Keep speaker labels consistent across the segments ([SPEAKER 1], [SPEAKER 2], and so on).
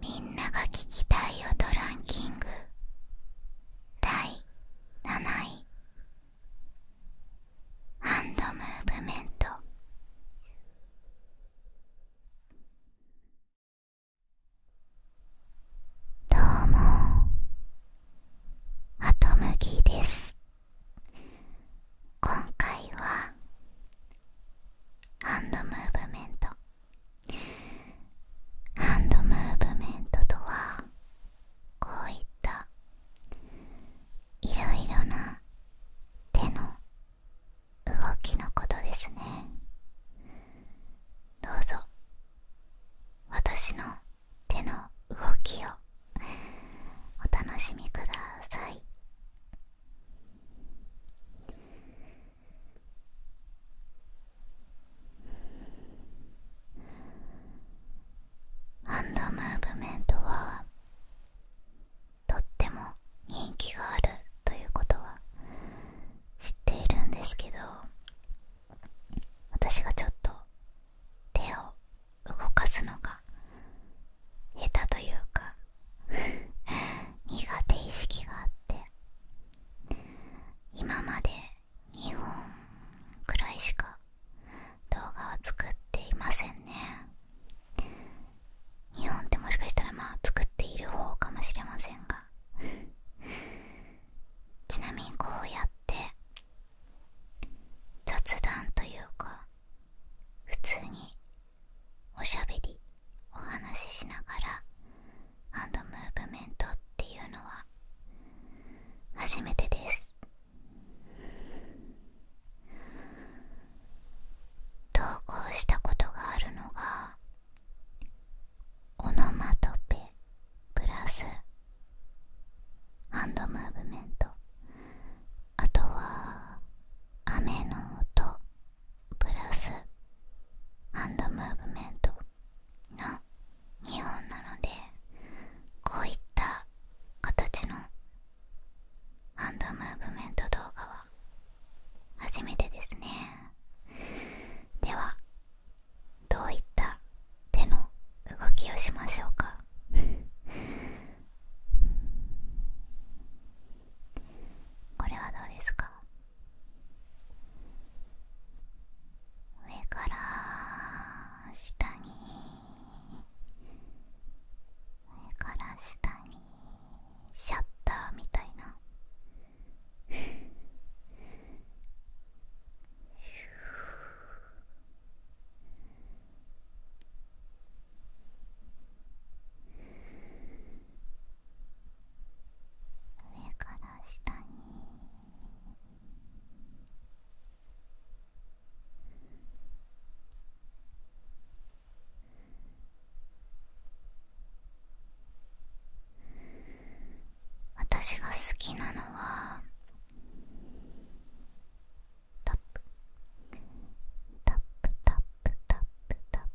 [SPEAKER 1] みんなが聞きたい音ランキング第7位ハンドムーブメントどうもアトムギです今回はハンドムーブメントハンドムーブメントとはこういったいろいろな手の動きのことですねどうぞ私の手の動きをお楽しみくださいハンダムーブメントはとっても人気があるということは知っているんですけど私がちょっと手を動かすのが下手というか 苦手意識があって今まで2本くらいしか動画は作っていませんね2本ってもしかしたらまあ作っている方かもしれませんがちなみにこうやって雑談というか普通におしゃべりお話ししながらハンドムーブメントっていうのは初めてです投稿したことがあるのがオノマトペプラスハンドムーブメントあとは雨の音プラスハンドムーブメントの2本なのでこういった形のハンドムーブメント動画は初めてですねではどういった手の動きをしましょうかこれはどうですか上から下に上から下にシャッターみたいなこ 上から下に私が好きなのはタップタップタップタップタップ。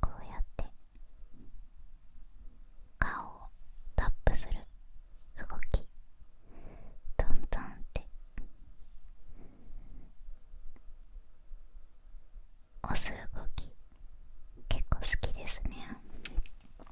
[SPEAKER 1] こうやって顔をタップする動きトントンって押す動き結構好きですね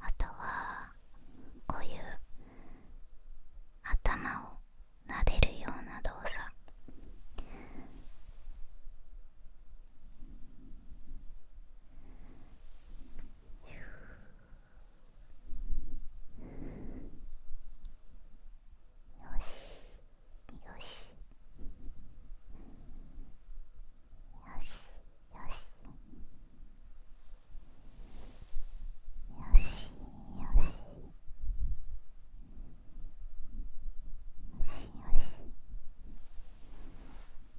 [SPEAKER 1] あとはこういう頭をなでるような動作よしよしよしよしよしよしよしよし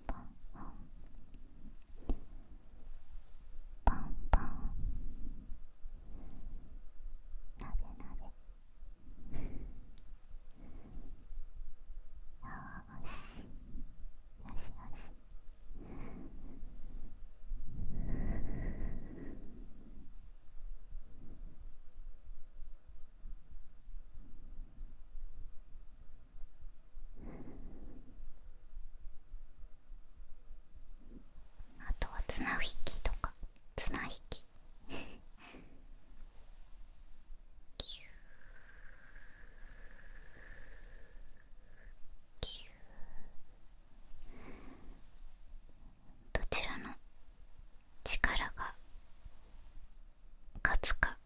[SPEAKER 1] パンパンパンパンなべなべああとは綱引きとか綱引きキューキューどちらの力が勝つか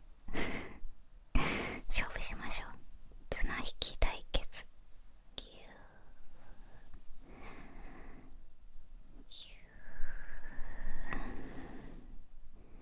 [SPEAKER 1] 勝負しましょう綱引き対決キューキュー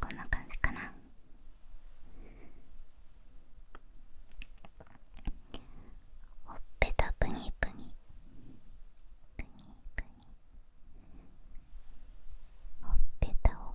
[SPEAKER 1] こんな感じかなほっぺたぷにぷにぷにぷにほっぺたを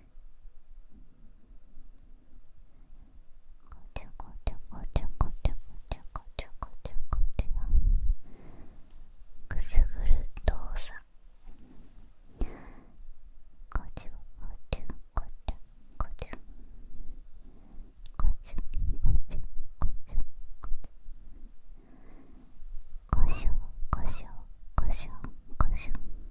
[SPEAKER 1] ちょこちこちこちこちこちこちこちょこくすぐる動作ここちゅこちゅこちゅこちゅこちゅこちょこしょこしょこしょこしょこしょこしょこしょこしょこしょこしょこしょこしょこしょこしょこしょこしょこしょ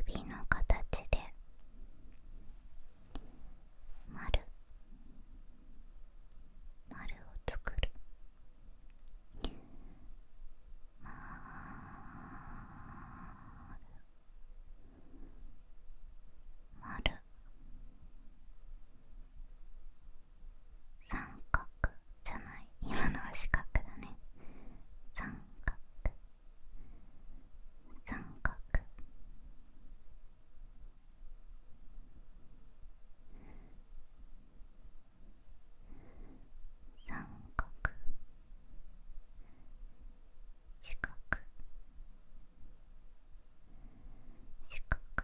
[SPEAKER 1] 指の形で丸丸を作るまるまる三角じゃない今のは四角だね三角三角三角四角四角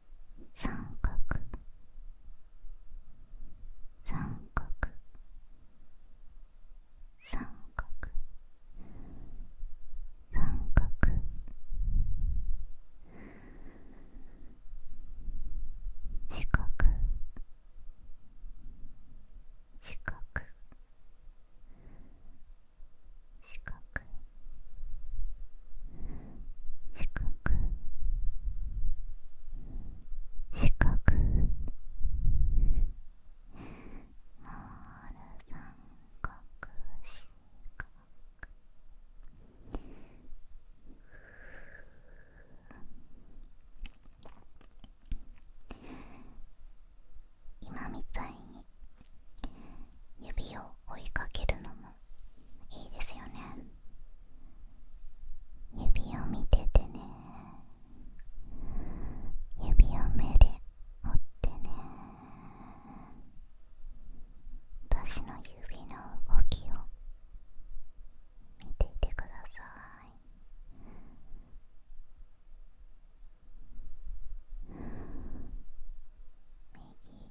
[SPEAKER 1] 三角三角三角三角四角四角四角四角四角まる三角四角今みたいに指を追いかけるのもいいですよね指を見ててね指を目で折ってね私の指の動きを見ていてください右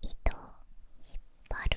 [SPEAKER 1] 糸を引っ張る。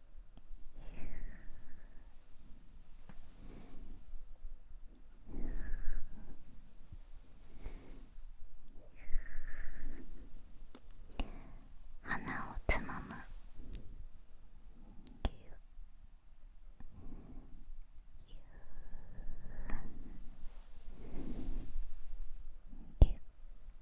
[SPEAKER 1] 鼻をつまむ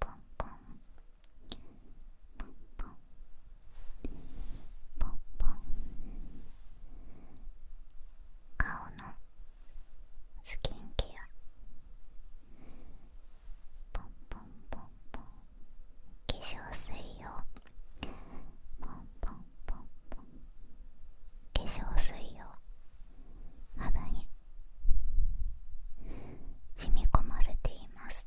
[SPEAKER 1] ポンポンポンポンポンポン顔のスキンケアポンポンポンポン化粧水をポンポンポンポン化粧水を肌に染み込ませています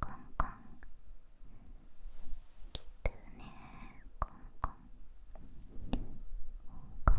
[SPEAKER 1] コンコンきつねコンコンコンコンコンコン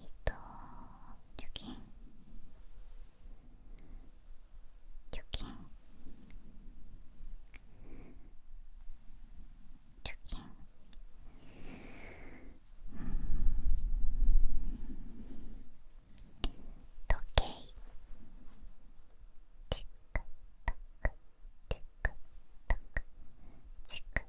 [SPEAKER 1] えっと貯金貯金貯金時計チクタクチクタクチクタクチクタクチクタクチクタクチクタクチク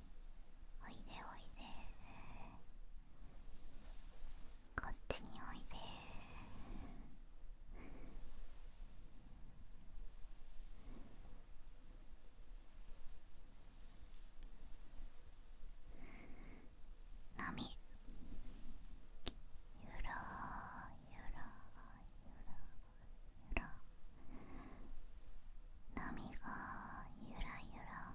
[SPEAKER 1] おいでおいでこっちにおいで波ゆらゆら波がゆらゆら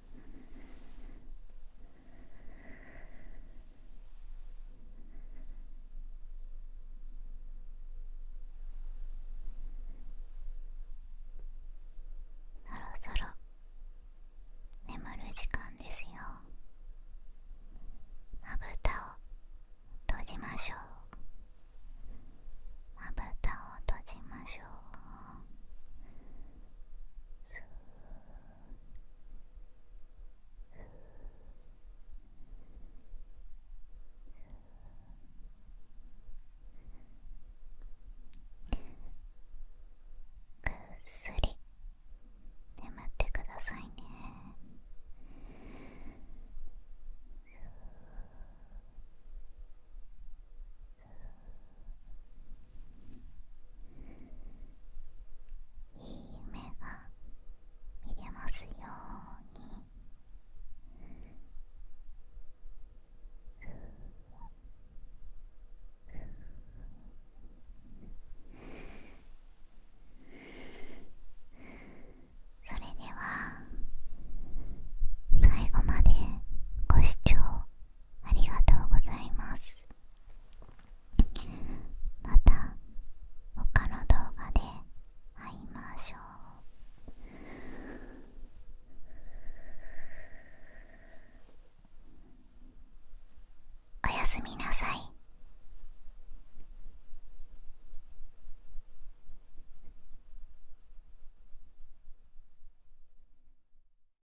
[SPEAKER 1] そろそろ眠る時間ですよまを閉じましょうまを閉じましょうすり眠ってくださいねふいい夢が見れますように。それでは最後までご視聴ありがとうございます。また他の動画で会いましょうおやすみなさい